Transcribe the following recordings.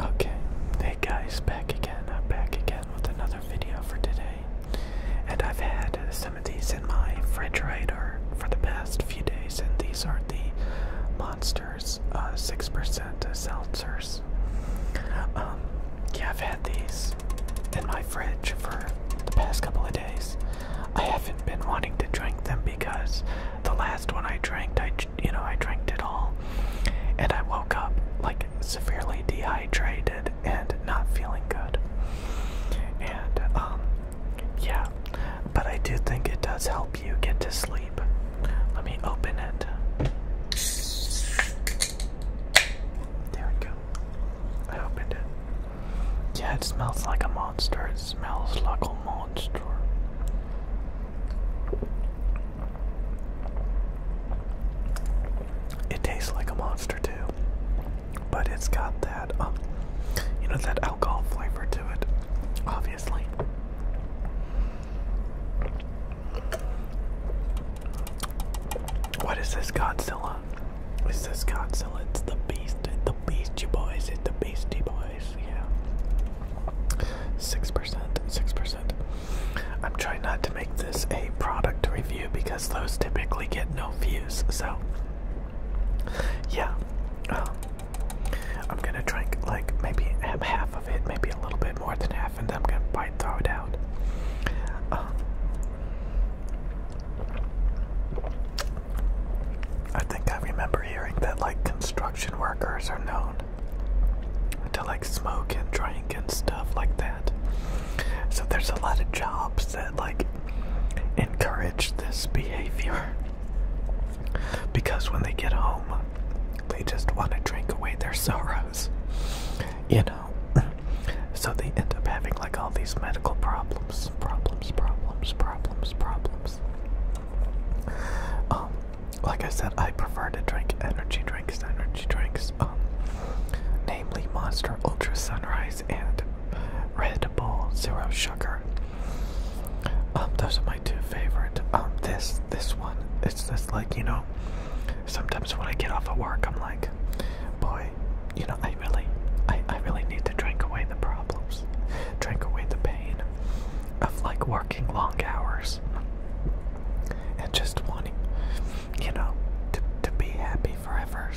Okay, hey guys, back again. I'm back again with another video for today. And I've had some of these in my refrigerator for the past few days, and these are the Monsters 6% uh, seltzers. Um, yeah, I've had these in my fridge for the past couple of days. I haven't been wanting to drink them because the last one I drank, I you know I drank it all, and I woke up like severely dehydrated and not feeling good. And um, yeah, but I do think it does help you get to sleep. Let me open it. There we go. I opened it. Yeah, it smells like a monster. It smells like a monster. It tastes like a monster too, but it's got that, um, you know, that alcohol flavor to it, obviously. What is this Godzilla? Is this Godzilla? It's the beast, The beast, you boys, it's the beast, you boys yeah. Six percent, six percent. I'm trying not to make this a product review because those typically get no views. So, yeah, um, I'm gonna drink like maybe half of it, maybe a little bit more than half, and then I'm gonna bite through it out. Um, I think I remember hearing that like construction workers are known to like smoke and drink and stuff like that. So there's a lot of jobs that like encourage this behavior because when they get home, they just want to drink away their sorrows, you know. So they end up having like all these medical problems, problems, problems, problems, problems. Um, like I said, I prefer to drink energy drinks, energy drinks, um, namely Monster Ultra Sunrise and Red Bull Zero Sugar. Um, those are my two favorite. this, this one, it's just like, you know, sometimes when I get off of work, I'm like, boy, you know, I I really, I, I really need to drink away the problems, drink away the pain of like working long hours and just wanting, you know, to, to be happy forever,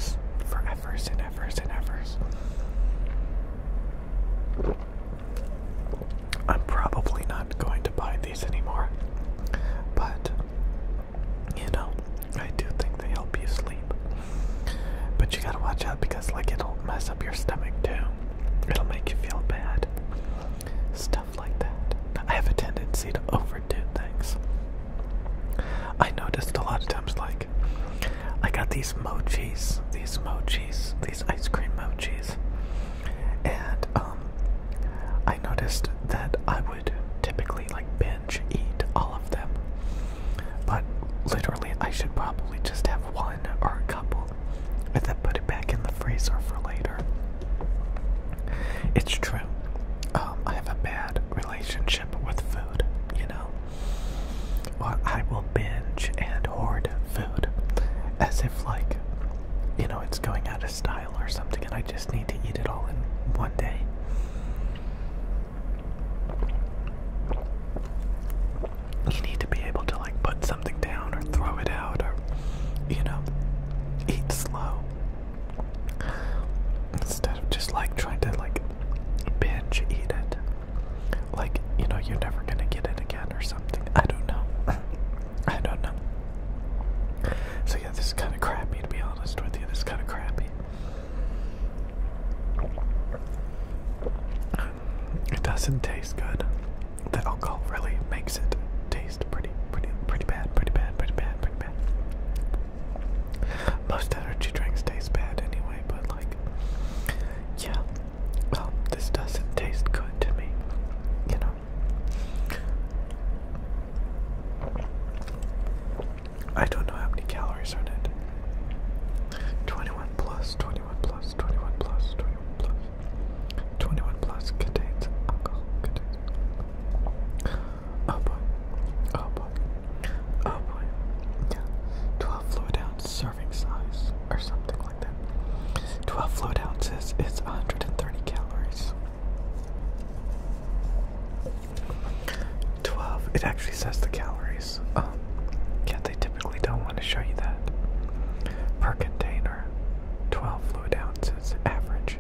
forever and ever and ever. I'm probably not going to buy these anymore, but you know, I do think they help you sleep. But you gotta watch out because, like, it'll mess up your stomach too. It'll make you feel bad. Stuff like that. I have a tendency to overdo things. I noticed a lot of times, like, I got these mochis, these mochis, these ice cream mochis, and um, I noticed that I would typically like binge eat all of them, but literally, I should probably just have one or a couple and then put it back in the freezer for later. It's true. Um, I have a bad relationship with food, you know. Well, I will binge and hoard food as if, like, you know, it's going out of style or something, and I just need to eat it all in one day you need to be able to like put something down or throw it out or you know eat slow instead of just like trying to like binge eat it like you know you're never gonna get it again or something i don't know i don't know so yeah this is kind of crappy to be honest with you this is kind of crappy it doesn't taste good. The alcohol really makes it taste pretty, pretty, pretty bad, pretty bad, pretty bad, pretty bad. Most energy drinks taste bad anyway, but like, yeah, well, this doesn't taste good to me, you know. I don't know how many calories are in it. 21 plus, 21 plus, 21 plus, 21 plus. 21 plus contains alcohol. Contains. Oh boy. Oh boy. Oh boy. Yeah. 12 fluid ounce serving size or something like that. 12 fluid ounces is 130 calories. 12. It actually says the calories. Um, yeah, they typically don't want to show you that. Per container, 12 fluid ounces, average.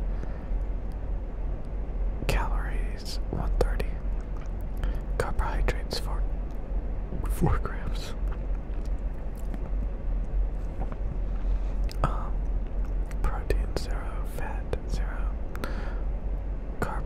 Calories, 130. Carbohydrates, 4, four grams. Um, protein, zero. Fat, zero. Carb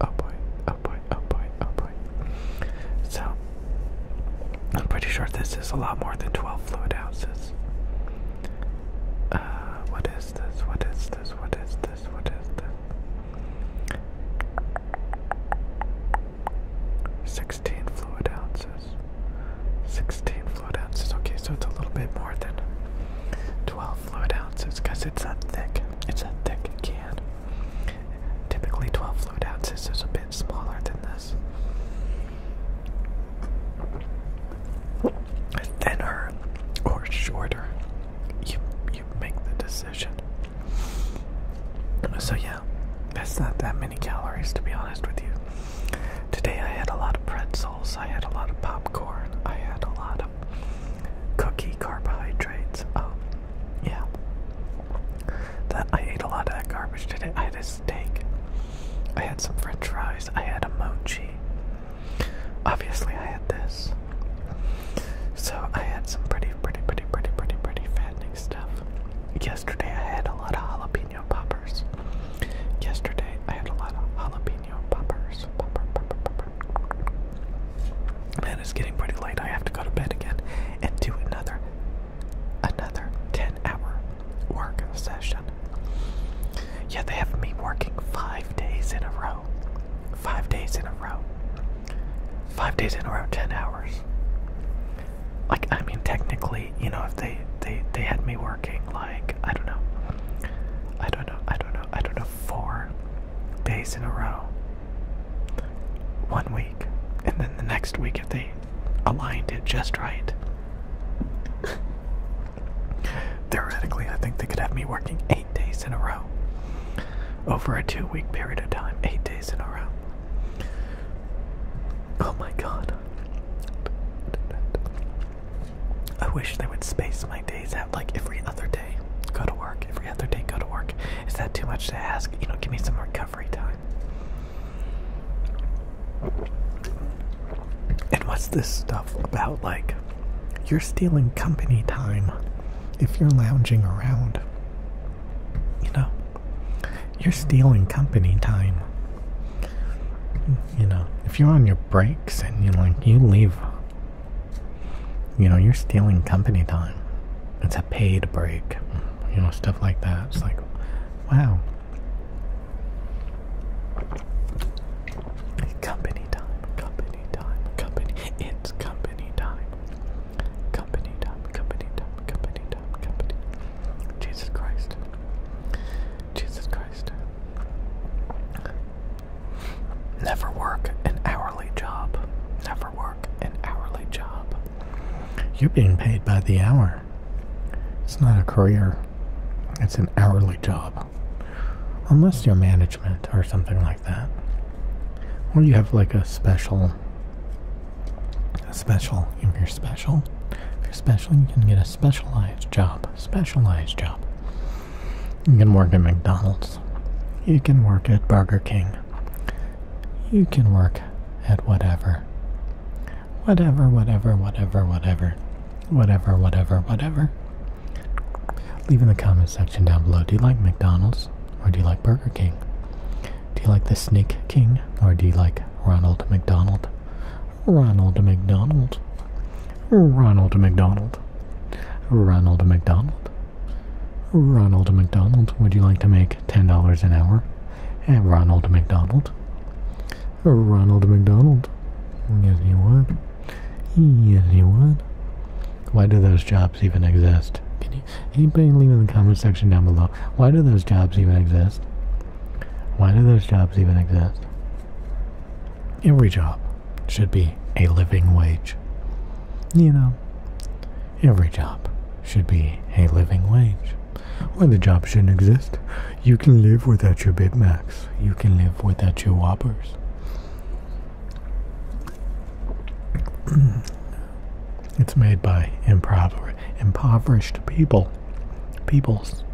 Oh boy, oh boy, oh boy, oh boy. So, I'm pretty sure this is a lot more than 12 fluid ounces. Uh, what is this? What is this? What is this? What is this? 16 fluid ounces. 16 fluid ounces. Okay, so it's a little bit more than 12 fluid ounces because it's a thick, it's a thick can. Typically 12 fluid ounces is a bit smaller than this. Thinner or shorter. You you make the decision. So yeah, that's not that many calories to be honest with you. Today I had a lot of pretzels, I had a lot of popcorn, I had a lot of cookie carbohydrates. Oh, yeah. That I ate a lot of that garbage today. I had a steak. I had some French fries. I had a mochi. Obviously, I had this. So I had some pretty, pretty, pretty, pretty, pretty, pretty fattening stuff. Yesterday, I had a lot of jalapeno poppers. Yesterday, I had a lot of jalapeno poppers. Man, it's getting pretty late. I have to go to bed again and do another another 10 hour work session. Yeah, they have me working five days in a row. Five days in a row. Five days in a row, 10 hours. Like, I mean, technically, you know, if they, they, they had me working, like, I don't know. I don't know, I don't know, I don't know, four days in a row. One week, and then the next week if they aligned it just right. Theoretically, I think they could have me working eight days in a row. Over a two week period of time, eight days in a row. Oh my god. I wish they would space my days out like every other day. Go to work, every other day, go to work. Is that too much to ask? You know, give me some recovery time. And what's this stuff about like you're stealing company time if you're lounging around? You know, you're stealing company time. You know, if you're on your breaks and you like you leave you know, you're stealing company time. It's a paid break. You know, stuff like that. It's like, wow. Company time, company time, company. It's company time. Company time, company time, company time, company. Jesus Christ. Jesus Christ. Never work an hourly job. Never work an hourly job. You're being paid by the hour. It's not a career, it's an hourly job. Unless you're management or something like that. Or you have like a special, a special, if you're special. If you're special, you can get a specialized job. Specialized job. You can work at McDonald's. You can work at Burger King. You can work at whatever. Whatever, whatever, whatever, whatever. Whatever, whatever, Leave in the comment section down below do you like McDonald's or do you like Burger King? Do you like the Snake King or do you like Ronald McDonald? Ronald McDonald. Ronald McDonald. Ronald McDonald. Ronald McDonald, would you like to make $10 an hour? At Ronald McDonald. Ronald McDonald. Yes, you would. Yes, you would. Why do those jobs even exist? Can you, anybody leave in the comment section down below? Why do those jobs even exist? Why do those jobs even exist? Every job should be a living wage. You know, every job should be a living wage. Or the job shouldn't exist. You can live without your Big Macs. You can live without your Whoppers. it's made by impover impoverished people. Peoples.